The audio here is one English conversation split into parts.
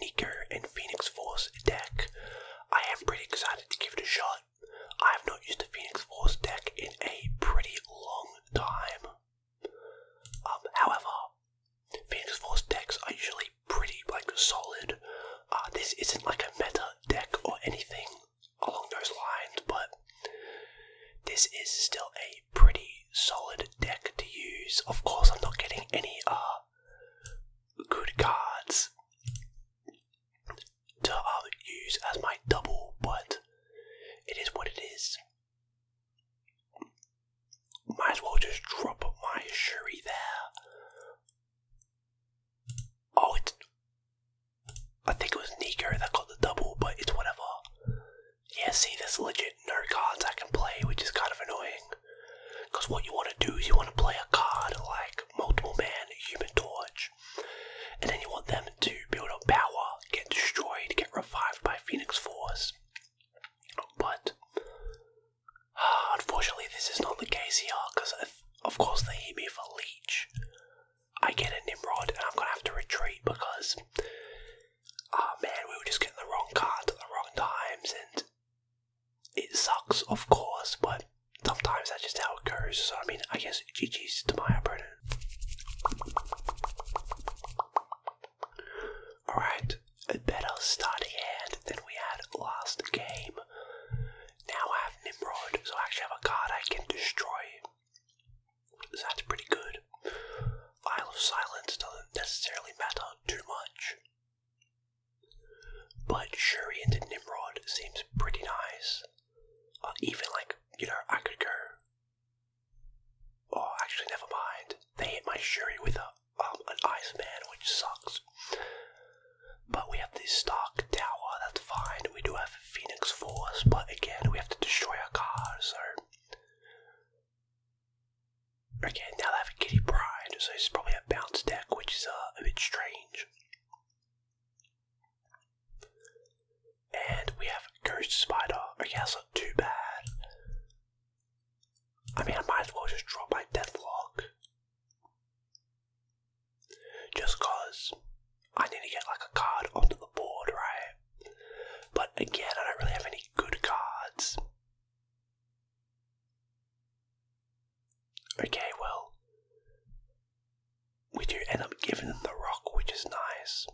Nicker, and Phoenix Force deck. I am pretty excited to give it a shot. I have not used a Phoenix Force deck in a pretty long time. Um, however, Phoenix Force decks are usually pretty like solid. Uh, this isn't like a meta deck or anything along those lines, but this is still a pretty solid deck to use. Of course, I'm not getting any R. Uh, good cards to uh, use as my double, but it is what it is. Might as well just drop my Shuri there. Oh, I think it was Nico that got the double, but it's whatever. Yeah, see, there's legit no cards I can play, which is kind of annoying. Because what you want to do is you want to play a card like Multiple Man, Human Torch, and then you want them to build up power, get destroyed, get revived by Phoenix Force. But unfortunately, this is not the case here because, of course, they hit me for Leech. I get a Nimrod and I'm gonna have to retreat because ah oh, man, we were just getting the wrong card at the wrong times, and it sucks, of course, but sometimes that's just how it goes. So, I mean, I guess GG's to my opponent. Alright, a better starting hand than we had last game. Now I have Nimrod, so I actually have a card I can destroy. that's pretty good. Isle of Silence doesn't necessarily matter not too much. But Shuri into Nimrod seems pretty nice. Uh, even like, you know, I could go. Oh, actually, never mind. They hit my Shuri with a, um, an Iceman, which sucks. But we have the Stark Tower, that's fine. We do have Phoenix Force, but again, we have to destroy our cars, so. Okay, now they have a Kitty Pride, so it's probably a bounce deck, which is uh, a bit strange. And we have Ghost Spider. Okay, that's not too bad. I mean, I might as well just drop my Deathlock. Just cause I need to get like a card onto the board, right? But again, I don't really have any good cards. Okay, well, we do end up giving them the rock, which is nice.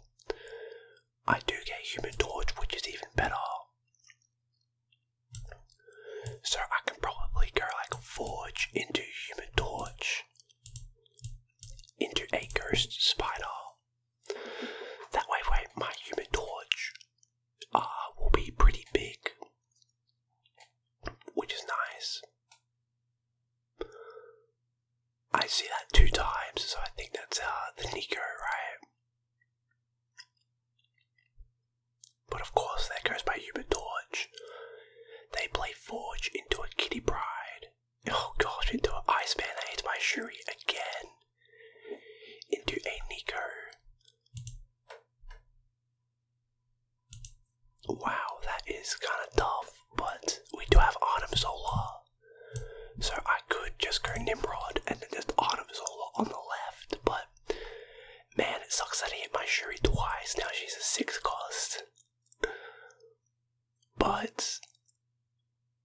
I do get Human Torch, which is even better. So I can probably go like Forge into Human Torch, into a Spider, that way, my human torch uh, will be pretty big, which is nice. I see that two times, so I think that's uh, the Nico, right? But of course, there goes my human torch. They play Forge into a Kitty Bride, oh gosh, into an ice man. I hit my Shuri again. Into a Nico. Wow, that is kind of tough, but we do have Autumn Zola. So I could just go Nimrod and then just Autumn Zola on the left, but man, it sucks that I hit my Shuri twice. Now she's a 6 cost. But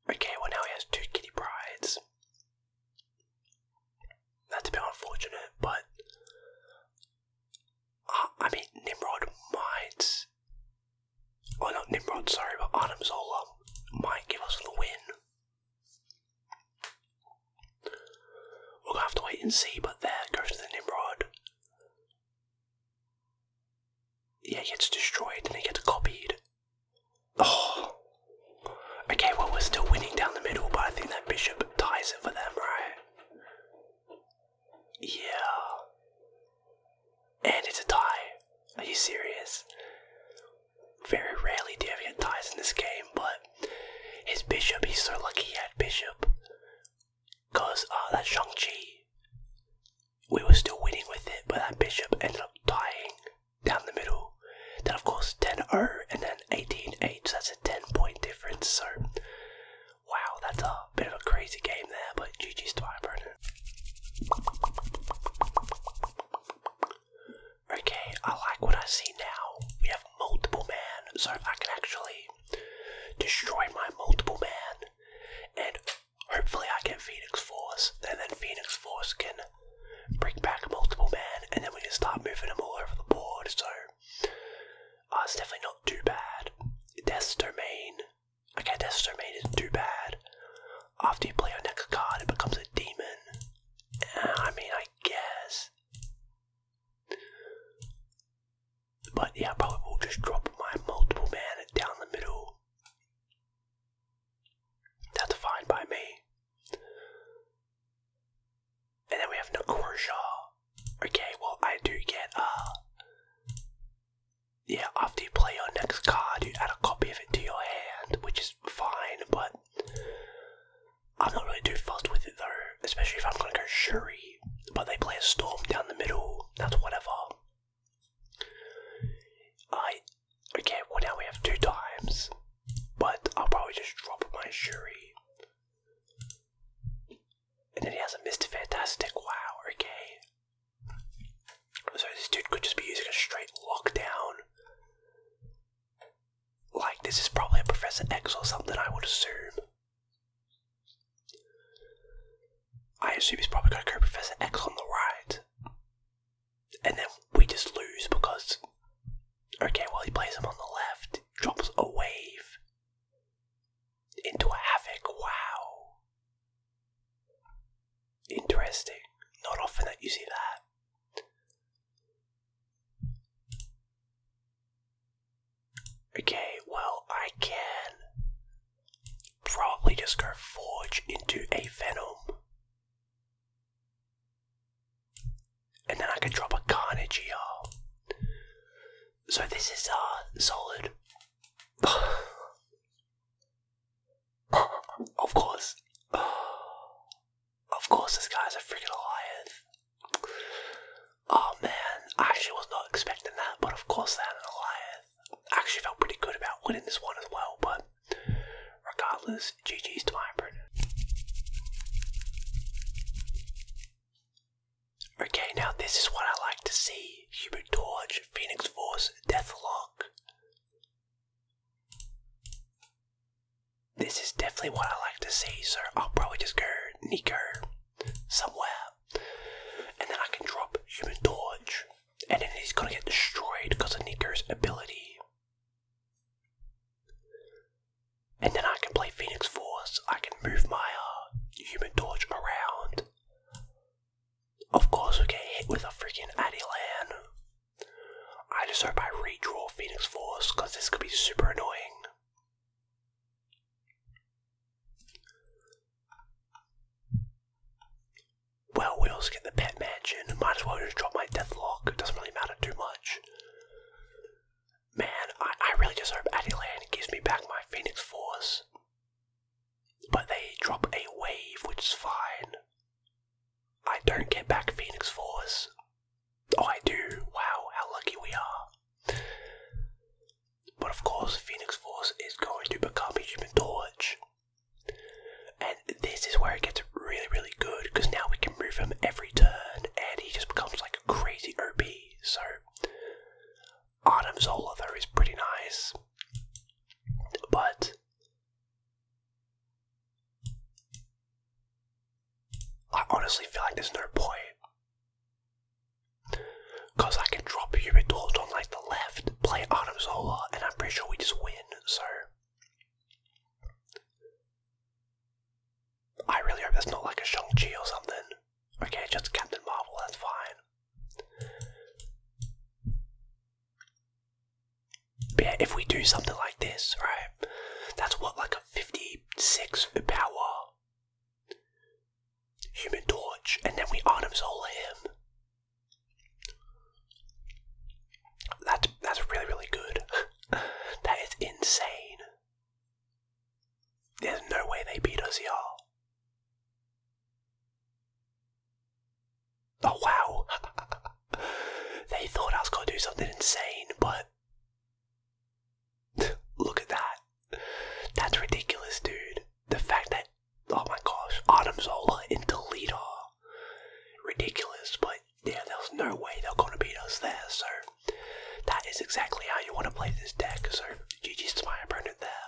okay, well now he has two kitty brides. That's a bit unfortunate, but uh, I mean Nimrod might, well not Nimrod, sorry, but Adam Zola might give us the win. We'll have to wait and see, but there goes to the Nimrod. Yeah, he gets destroyed and he gets copied. Oh. Okay, well, we're still winning down the middle, but I think that bishop ties it for them, right? Yeah. And it's a tie. Are you serious? Very rarely do you ever get ties in this game, but his bishop, he's so lucky he had bishop. Because ah uh, that shang we were still winning with it, but that bishop ended up dying down the middle. Then, of course, 10 0 and then 18 8, so that's a 10 point difference. So, wow, that's a bit of a crazy game there, but GG's to my opponent. Okay, I like what I see now. We have multiple man, so I can actually destroy my multiple man, and hopefully I get Phoenix Force, and then Phoenix Force can bring back multiple man, and then we can start moving them all over the board, so uh, it's definitely not too bad. Death's Domain, okay, Death's Domain isn't too bad. After you play your next card, it becomes a demon. I mean, I guess. But yeah, I probably will just drop my multiple man down the middle. That's fine by me. And then we have Nakorsha. Okay, well I do get uh Yeah, after you play your next card you add a copy of it to your hand, which is fine, but I'm not really too fussed with it though, especially if I'm going to go Shuri, but they play a Storm down the middle, that's whatever. I. Okay, well now we have two times, but I'll probably just drop my Shuri. And then he has a Mr. Fantastic, wow, okay. So this dude could just be using a straight lockdown. Like, this is probably a Professor X or something, I would assume. I assume he's probably going to go Professor X on the right. And then we just lose because. Okay, well, he plays him on the left, drops a wave into a havoc. Wow. Interesting. Not often that you see that. Okay, well, I can probably just go forge into a Venom. And then I can drop a Carnage here. So this is, uh, solid. of course. Of course, this guy's a freaking Goliath. Oh man, I actually was not expecting that, but of course, they had an Goliath. actually felt pretty good about winning this one as well, but regardless, GG's to my Okay, now this is what I like to see Hubert Torch, Phoenix Force, Deathlock. This is definitely what I like to see, so I'll probably just go Nico somewhere. And then I can drop Human Torch. And then he's gonna get destroyed because of Nico's ability. And then I can play Phoenix Force. I can move my uh, Human Torch around. Of course, we get hit with a freaking Adilan. I just hope I redraw Phoenix Force because this could be super annoying. Well, we also get the pet mansion. Might as well just drop my Deathlock. It doesn't really matter too much. Man, I, I really just hope Addyland gives me back my Phoenix Force. But they drop a wave, which is fine. I don't get back Phoenix Force. I do. Wow, how lucky we are. But of course, Phoenix Force is going to become a human torch. And this is where it gets really, really good because now we can move him every turn and he just becomes like a crazy OP. So, Artem Zola, is pretty nice. But I honestly feel like there's no point. Because I can drop Hubert Dort on like the left, play Adam Zola, and I'm pretty sure we just win, so. I really hope that's not like a Shang-Chi or something. Okay, just Captain Marvel, that's fine. But if we do something like this, right, that's what, like a 56 power human torch, and then we Artem Solar him. That's, that's really, really good. that is insane. There's no way they beat us, y'all. Oh wow! they thought I was going to do something insane, but look at that. That's ridiculous, dude. The fact that, oh my gosh, Adam Zola in Toledo. Ridiculous, but yeah, there's no way they're going to beat us there, sir. that is exactly how you want to play this deck, sir. GG's to my opponent there.